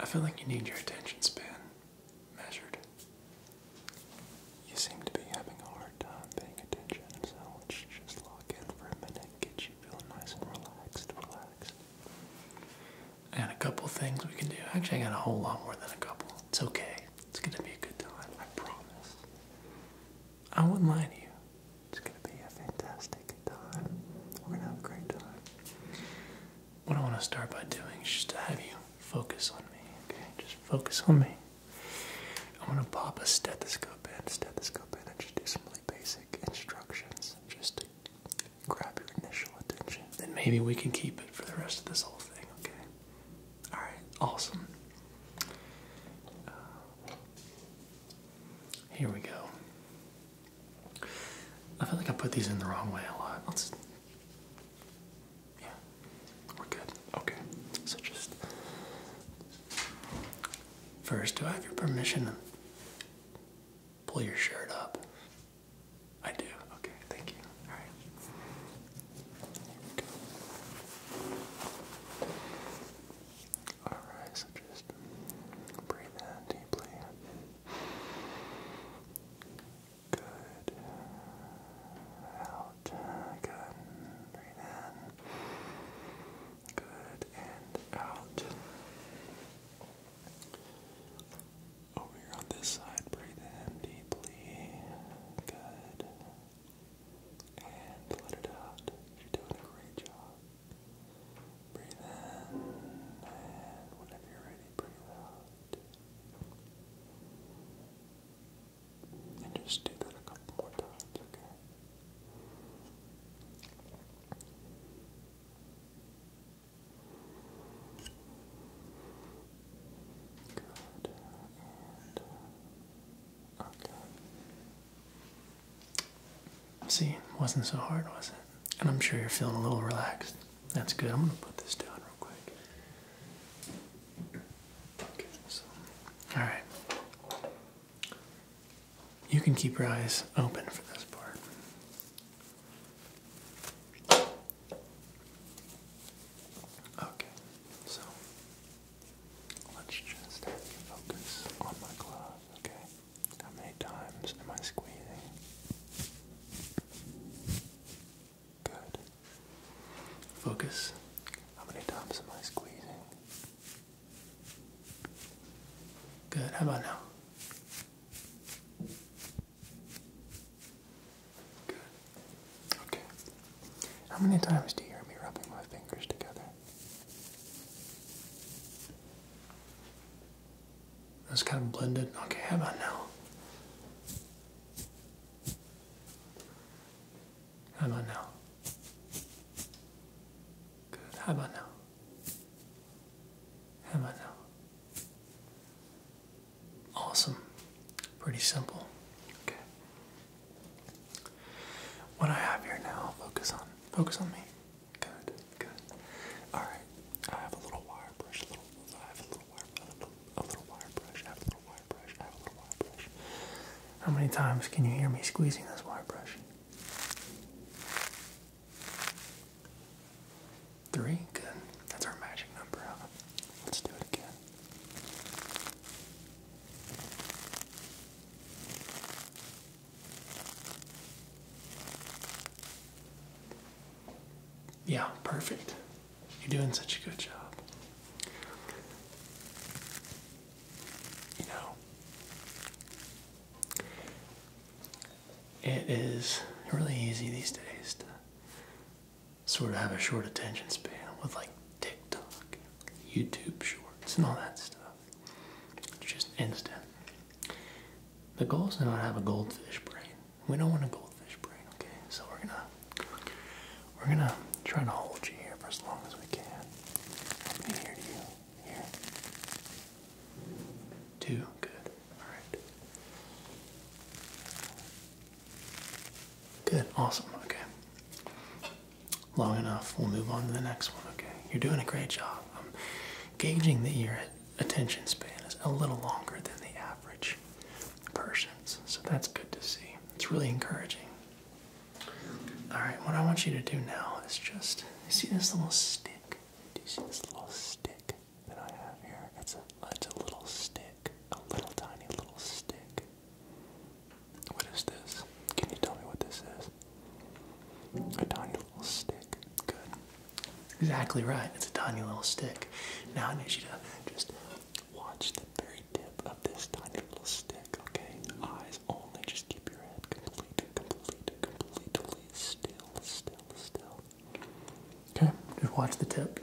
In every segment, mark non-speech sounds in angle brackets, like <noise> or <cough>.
I feel like you need your attention span measured. You seem to be having a hard time paying attention, so let's just log in for a minute, get you feeling nice and relaxed, relaxed. I got a couple things we can do. Actually, I got a whole lot more than a couple. It's okay. It's gonna be a good time, I promise. I wouldn't lie to you. It's gonna be a fantastic time. We're gonna have a great time what I want to start by doing is just to have you focus on me, okay? Just focus on me. I'm going to pop a stethoscope in, stethoscope in, and just do some really basic instructions just to grab your initial attention. Then maybe we can keep it for the rest of this whole thing, okay? Alright, awesome. Uh, here we go. I feel like I put these in the wrong way a lot. Let's. Yeah. We're good. Okay. So just. First, do I have your permission to pull your shirt up? I do. Okay. Thank you. All right. Here we go. All right. So just breathe in deeply. Good. Out. Good. Breathe in. Good. And out. Over here on this side, breathe in deeply. Good. And let it out. You're doing a great job. Breathe in, and whenever you're ready, breathe out. And just do that a couple more times, okay? Good. And uh, okay. See, wasn't so hard, was it? And I'm sure you're feeling a little relaxed. That's good. I'm going to put this down real quick. Okay, so. Alright. You can keep your eyes open for this part. Okay, so let's just focus on my glove, okay? How many times am I squeezing? Good. Focus. How many times am I squeezing? Good. How about now? Good. Okay. How many times do you hear me rubbing my fingers together? That's kind of blended. Okay, how about now? How about now? Good. How about now? How about now? Awesome. Pretty simple. Okay. What I have here now, focus on. Focus on me. Good, good. Alright, I have a little wire brush, little, I have a little wire, a little, a little wire brush, I have a little wire brush, I have a little wire brush. How many times can you hear me squeezing this wire brush? Three? Good. That's our magic number, Let's do it again. Yeah, perfect. You're doing such a good job. You know, it is really easy these days to sort of have a short attention span with like TikTok, YouTube shorts, and all that stuff. It's just instant. The goal is not to have a goldfish brain. We don't want a goldfish brain, okay? So we're gonna we're gonna try to hold you here for as long as we can. How many here do you? Here. Two. Good. Alright. Good. Awesome. Okay. Long enough. We'll move on to the next one. Okay. You're doing a great job. I'm gauging the you attention span is a little longer than the average person's. So that's good to see. It's really encouraging. All right, what I want you to do now is just see this little stick. Do you see this little stick that I have here? It's a it's a little stick, a little tiny little stick. What is this? Can you tell me what this is? A tiny little stick. Good. Exactly right. It's a tiny little stick. Now I need you to just watch the very tip of this tiny little stick, okay? Eyes only. Just keep your head completely, completely, completely still, still, still. Okay, just watch the tip.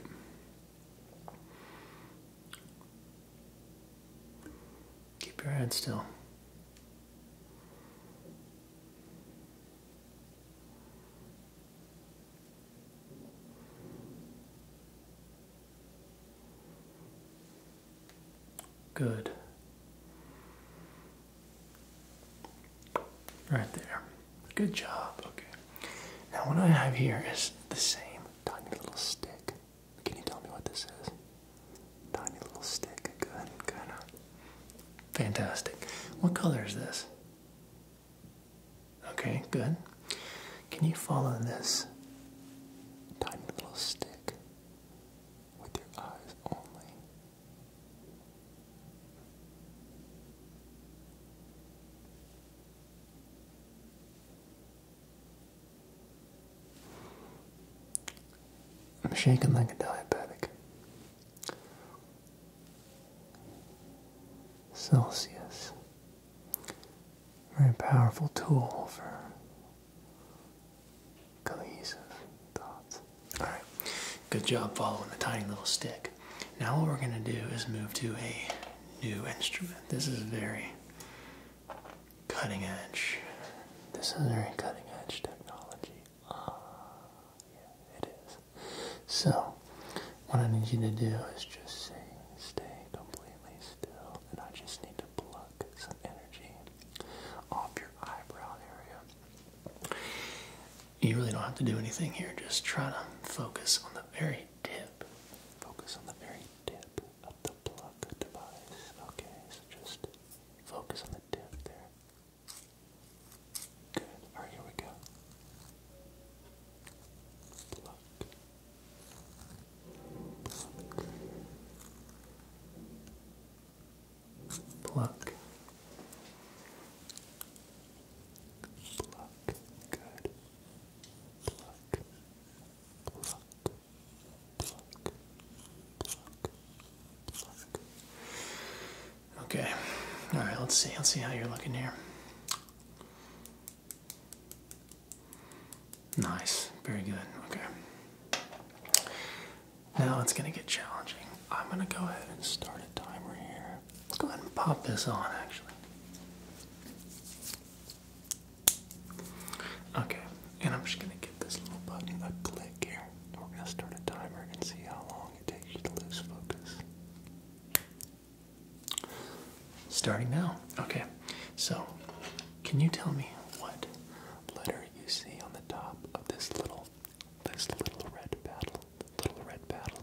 Keep your head still. Good. Right there. Good job. Okay. Now, what I have here is the same tiny little stick. Can you tell me what this is? Tiny little stick. Good, good. Fantastic. What color is this? Okay, good. Can you follow this tiny little stick with your eyes only? I'm shaking like a diabetic. Celsius. Very powerful tool for cohesive thoughts. Alright, good job following the tiny little stick. Now, what we're going to do is move to a new instrument. This is very cutting edge. This is very cutting edge technology. Uh, yeah, it is. So, what I need you to do is just stay completely still, and I just need to plug some energy off your eyebrow area. You really don't have to do anything here. Just try to focus on the very tip. Focus on the very tip of the pluck device. Okay, so just focus on the tip there. Good. All right, here we go. Pluck. Pluck. Pluck. Good. Pluck. Pluck. Pluck. Pluck. Pluck. Okay. All right, let's see. Let's see how you're looking here. Nice. Very good. Okay. Now it's going to get challenging. I'm going to go ahead and start a timer here. Let's go ahead and pop this on, actually. Okay, and I'm just going to give this little button a click here. We're going to start a timer and see how long Starting now. Okay, so can you tell me what letter you see on the top of this little, this little red paddle? Little red paddle.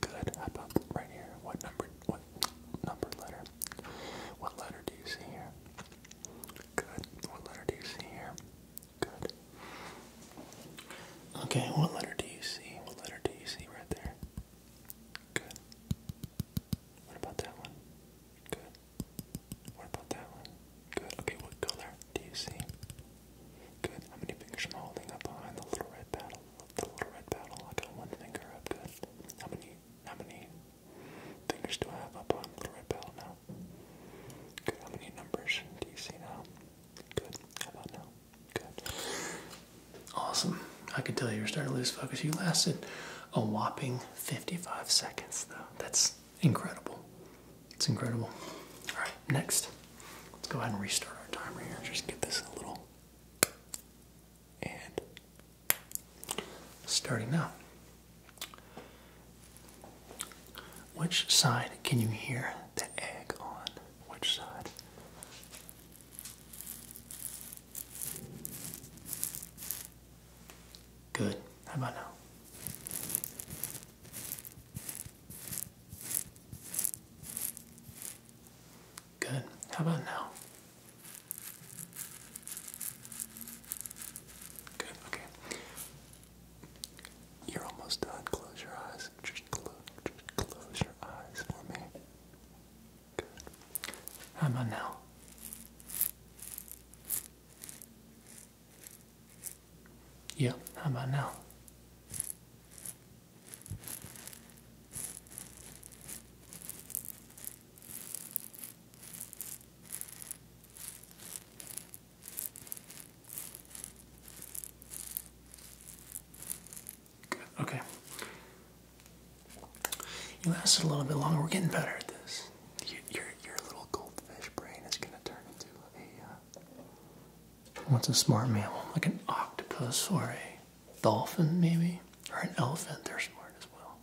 Good. How about right here? What number? What number letter? What letter do you see here? Good. What letter do you see here? Good. Okay, what letter do you see? What letter do you see right there? Good. What about that one? Good. What about that one? Good. Okay, what color do you see? Good. How many fingers am I holding up behind the little red paddle? The little red paddle. I got one finger up. Good. How many? How many fingers do I have up behind the little red paddle now? Good. How many numbers do you see now? Good. How about now? Good. Awesome. I can tell you you're starting to lose focus. You lasted a whopping 55 seconds, though. That's incredible. It's incredible. All right, next. Let's go ahead and restart our timer here. Just get this a little. And starting now. Which side can you hear the egg on? Which side? Good. How about now? Good. How about now? Good. Okay. You're almost done. Close your eyes. Just close, just close your eyes for me. Good. How about now? Yep. How about now? Okay. You lasted a little bit longer. We're getting better at this. your, your little goldfish brain is going to turn into a. Uh, what's a smart mammal? Like an octopus or a dolphin, maybe? Or an elephant. They're smart as well.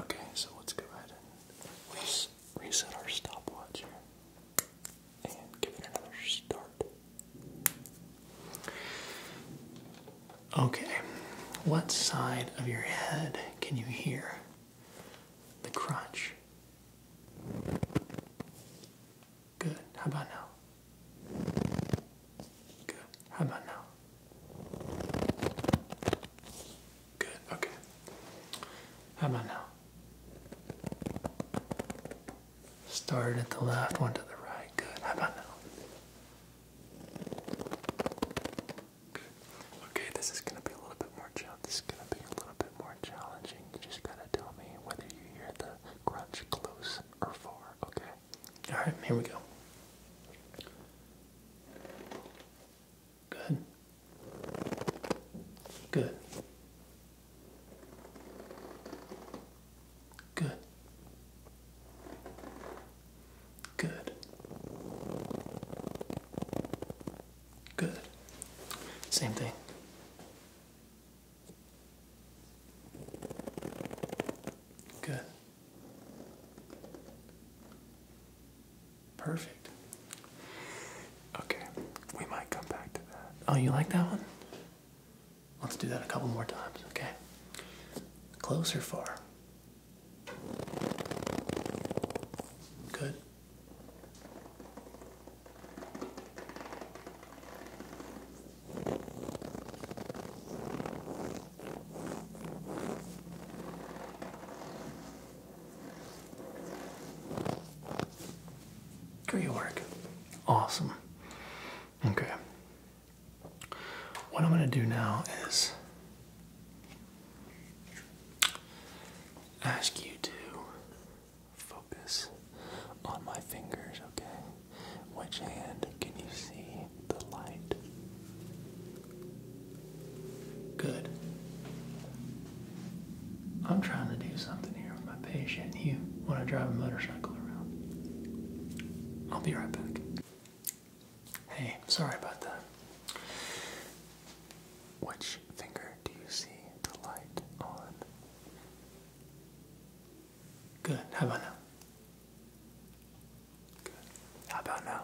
Okay, so let's go ahead and reset our stopwatch and give it another start. Okay, what side of your head can you hear the crunch? Good. How about now? Good. How about now? Good, okay. How about now? Start at the left, one to the right. Good, how about now? Okay, this is gonna be a little bit more challenging. This is gonna be a little bit more challenging. You just gotta tell me whether you hear the crunch close or far, okay? Alright, here we go. Good. Good. Good. Good. Good. Same thing. Good. Perfect. Okay, we might come back to that. Oh, you like that one? Let's do that a couple more times, okay? closer, or far? Good. Great work. Awesome. Okay. What I'm going to do now is ask you to focus on my fingers, okay? Which hand can you see the light? Good. I'm trying to do something here with my patient. You want to drive a motorcycle around? I'll be right back. Hey, sorry about that. Which finger do you see the light on? Good. How about now? Good. How about now?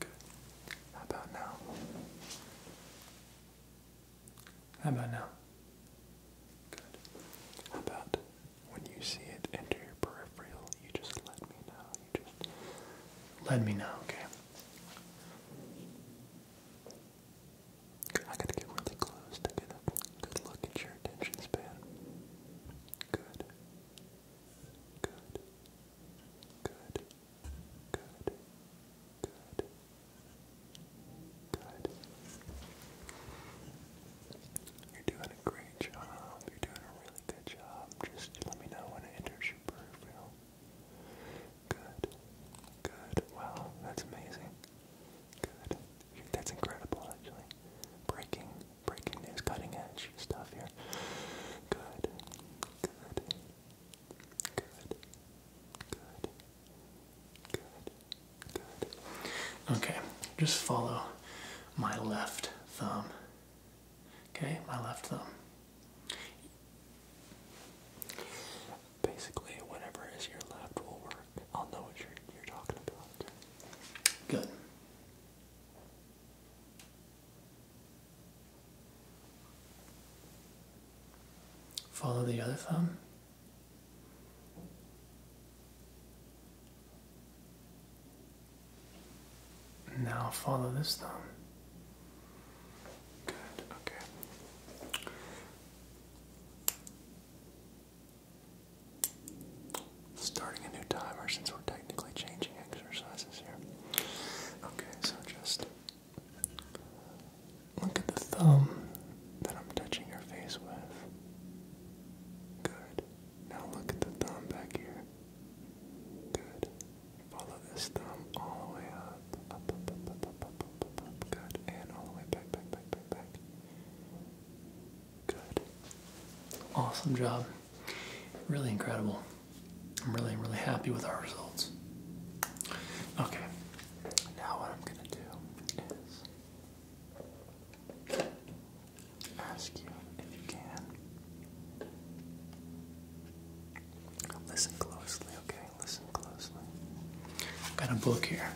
Good. How about now? How about now? Good. How about when you see it enter your peripheral, you just let me know. You just let me know, okay? Good. I gotta get really close to get a good look at your attention span. Good. Good. Good. Good. Good. Good. You're doing a great job. You're doing a really good job. Just let me know when it enters your peripheral. Good. Good. Wow, that's amazing. Good. That's incredible, actually. Breaking breaking news, cutting edge stuff here. Good, good, good, good, good, good. Okay, just follow my left thumb. Okay, my left thumb. Basically, whatever is your left will work. I'll know what you're, you're talking about. Good. Follow the other thumb. Now follow this thumb. Good, okay starting a new timer since we're technically changing exercises here. Okay, so just look at the thumb that I'm touching your face with. Good. Now look at the thumb back here. Good. Follow this thumb all the way up. Up, up, up, up, up, up, up, up. Good. And all the way back, back, back, back, back. Good. Awesome job. Really incredible. I'm really, really happy with our results. Okay, now what I'm going to do is ask you if you can listen closely, okay? Listen closely. I've got a book here.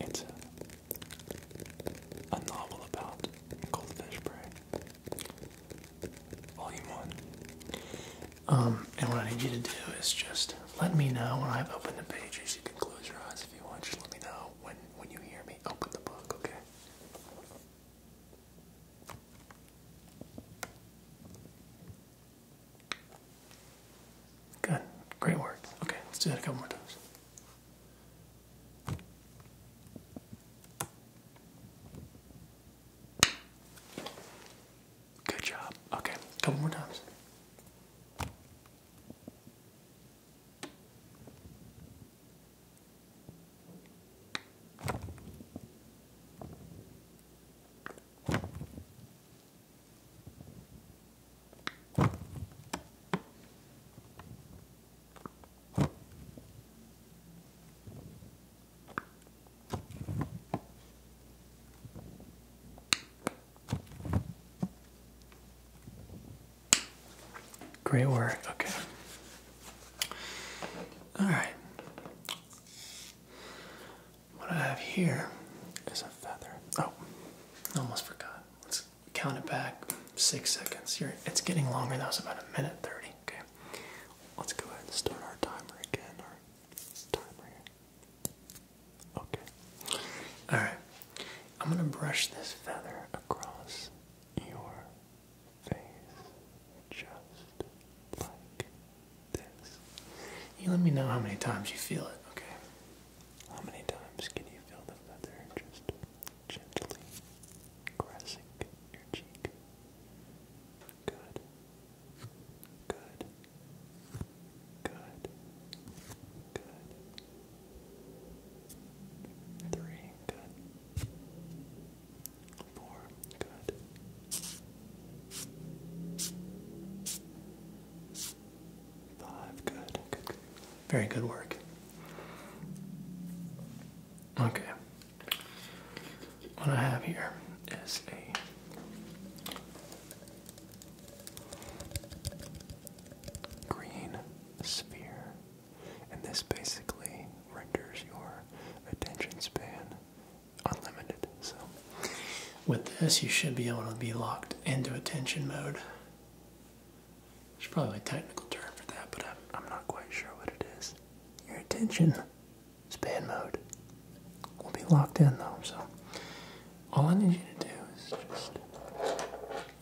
It's a a novel about goldfish prey. Volume 1. Um, and what I need you to do is just let me know when I've opened the pages. You can close your eyes if you want. Just let me know when, when you hear me open the book, okay? Good. Great work. Okay, let's do that a couple more times. Good job. Okay, a couple more times. Great work. Okay. All right. What I have here is a feather. Oh, almost forgot count it back six seconds. it's getting longer. That was about a minute 30. Okay. Let's go ahead and start our timer again. Our timer Okay. Alright. I'm going to brush this feather across your face just like this. You let me know how many times you feel it, okay? How many times can you feel the feather just gently caressing your cheek? Good. Good. Good. Good. Three. Good. Four. Good. Five. Good. good. Very good work. Okay. What I have here is a green sphere, and this basically renders your attention span unlimited. So, with this, you should be able to be locked into attention mode there's probably a technical term for that, but I'm, not quite sure what it is. Your attention span mode we will be locked in though, so all I need you to do is just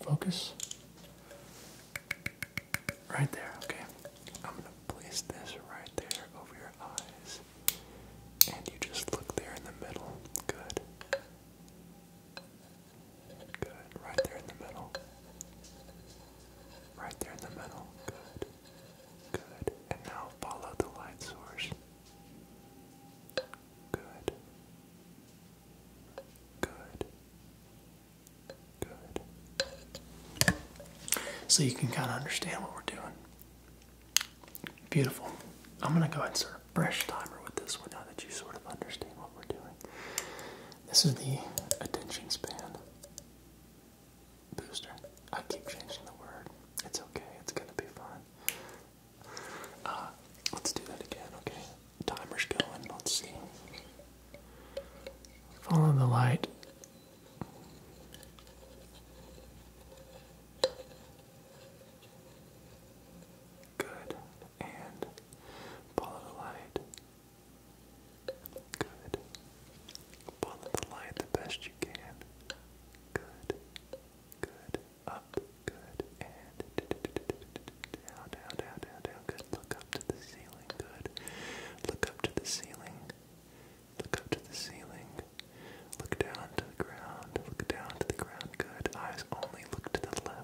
focus right there, okay? I'm gonna place this right there over your eyes, and you just look there in the middle. Good. Good. Right there in the middle. Right there in the middle. Good. Good. And now follow the light source. Good. Good. Good. So you can kind of understand what we're doing. Beautiful. I'm going to go ahead and circle brush timer with this one now that you sort of understand what we're doing. This is the attention span booster. I keep changing the word. It's okay. It's gonna be fine. Uh, let's do that again. Okay. Timer's going. Let's see. Follow the light. Good. And light. the light. Good. Follow the light the best you can. Good. Good. Up. Good. And down, down, down, down, down. Good. Look up to the ceiling. Good. Look up to the ceiling. Look up to the ceiling. Look down to the ground. Look down to the ground. Good. Eyes only look to the left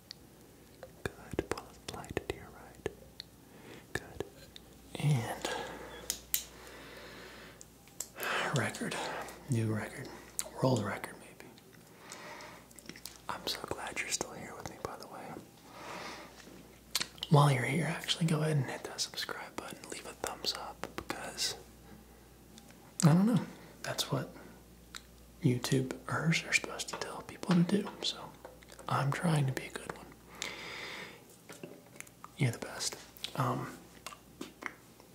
Good. Pull the light right. Good. And record. New record. World record maybe. I'm so glad you're still here with me by the way. While you're here, actually go ahead and hit that subscribe button, leave a thumbs up because I don't know. That's what YouTubers are supposed to tell people to do. So I'm trying to be a good one. You're the best. Um,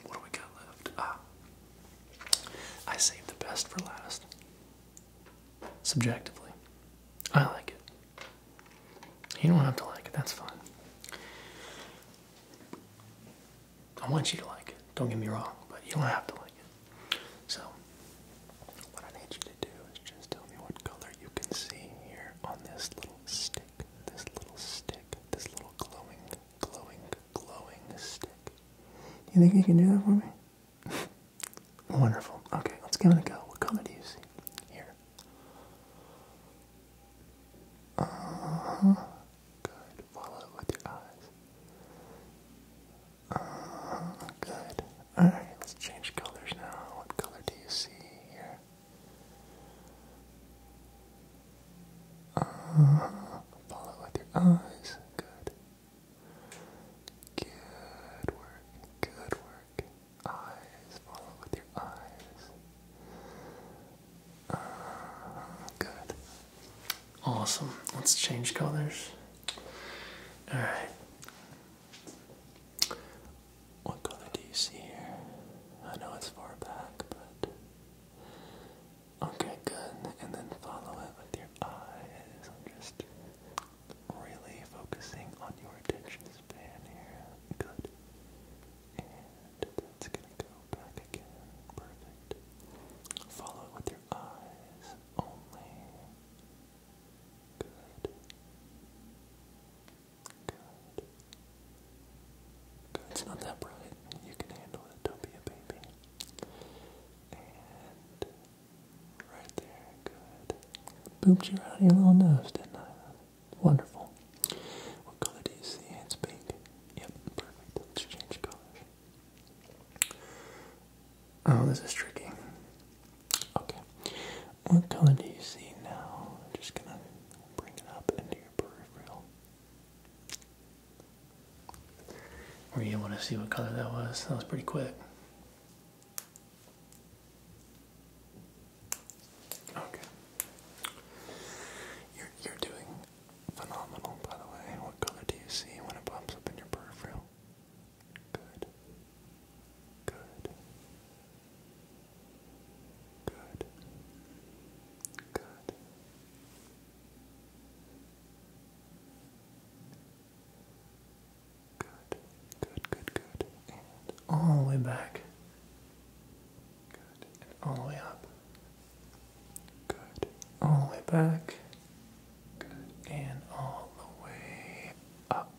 what do we got left? Ah. I saved the best for last. Subjectively, I like it. You don't have to like it. That's fine. I want you to like it. Don't get me wrong, but you don't have to like it. So, what I need you to do is just tell me what color you can see here on this little stick, this little stick, this little glowing, glowing, glowing stick. You think you can do that for me? <laughs> Wonderful. Okay, let's give it a go. What color do you see here? Uh huh. Good. Follow it with your eyes. Um, good. Alright, let's change colors now. What color do you see here? Uh, follow with your eyes. Good. Good work. Good work. Eyes. Follow with your eyes. Uh, good. Awesome. Let's change colors. All right. What color do you see here? I know it's far back, but. Okay, good. And then follow it with your eyes. I'm just really focusing on your attention span here. Good. And that's gonna go back again. Perfect. Follow it with your eyes only. Good. It's not that bright. You can handle it. Don't be a baby. And right there. Good. Booped you out little nose, didn't I? Wonderful. What color do you see? It's pink. Yep. Perfect. Let's change colors. Oh, this is tricky. Okay. What color do you see now? I'm just gonna bring it up into your peripheral. Were you able to see what color that was? That was pretty quick. Okay. You're, you're doing phenomenal, by the way. What color do you see when it pops up in your peripheral? Good. Good. Good. Good. Good, good, good, good. And all the way back. Good. all the way up. Good. All the way back. Good. And all the way up.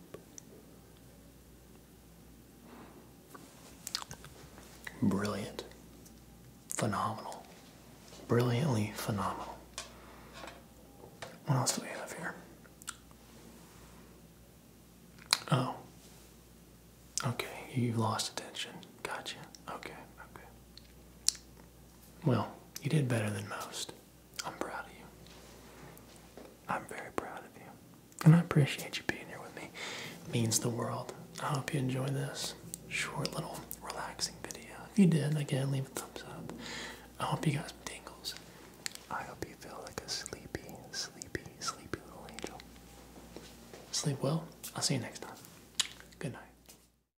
Brilliant. Phenomenal. Brilliantly phenomenal. What else do we have here? Oh. Okay, you lost attention. Gotcha. Okay, okay. Well, you did better than most. I'm proud of you. I'm very proud of you. And I appreciate you being here with me. means the world. I hope you enjoy this short little relaxing video. If you did, again, leave a thumbs up. I hope you got some tingles. I hope you feel like a sleepy, sleepy, sleepy little angel. Sleep well. I'll see you next time. Good night.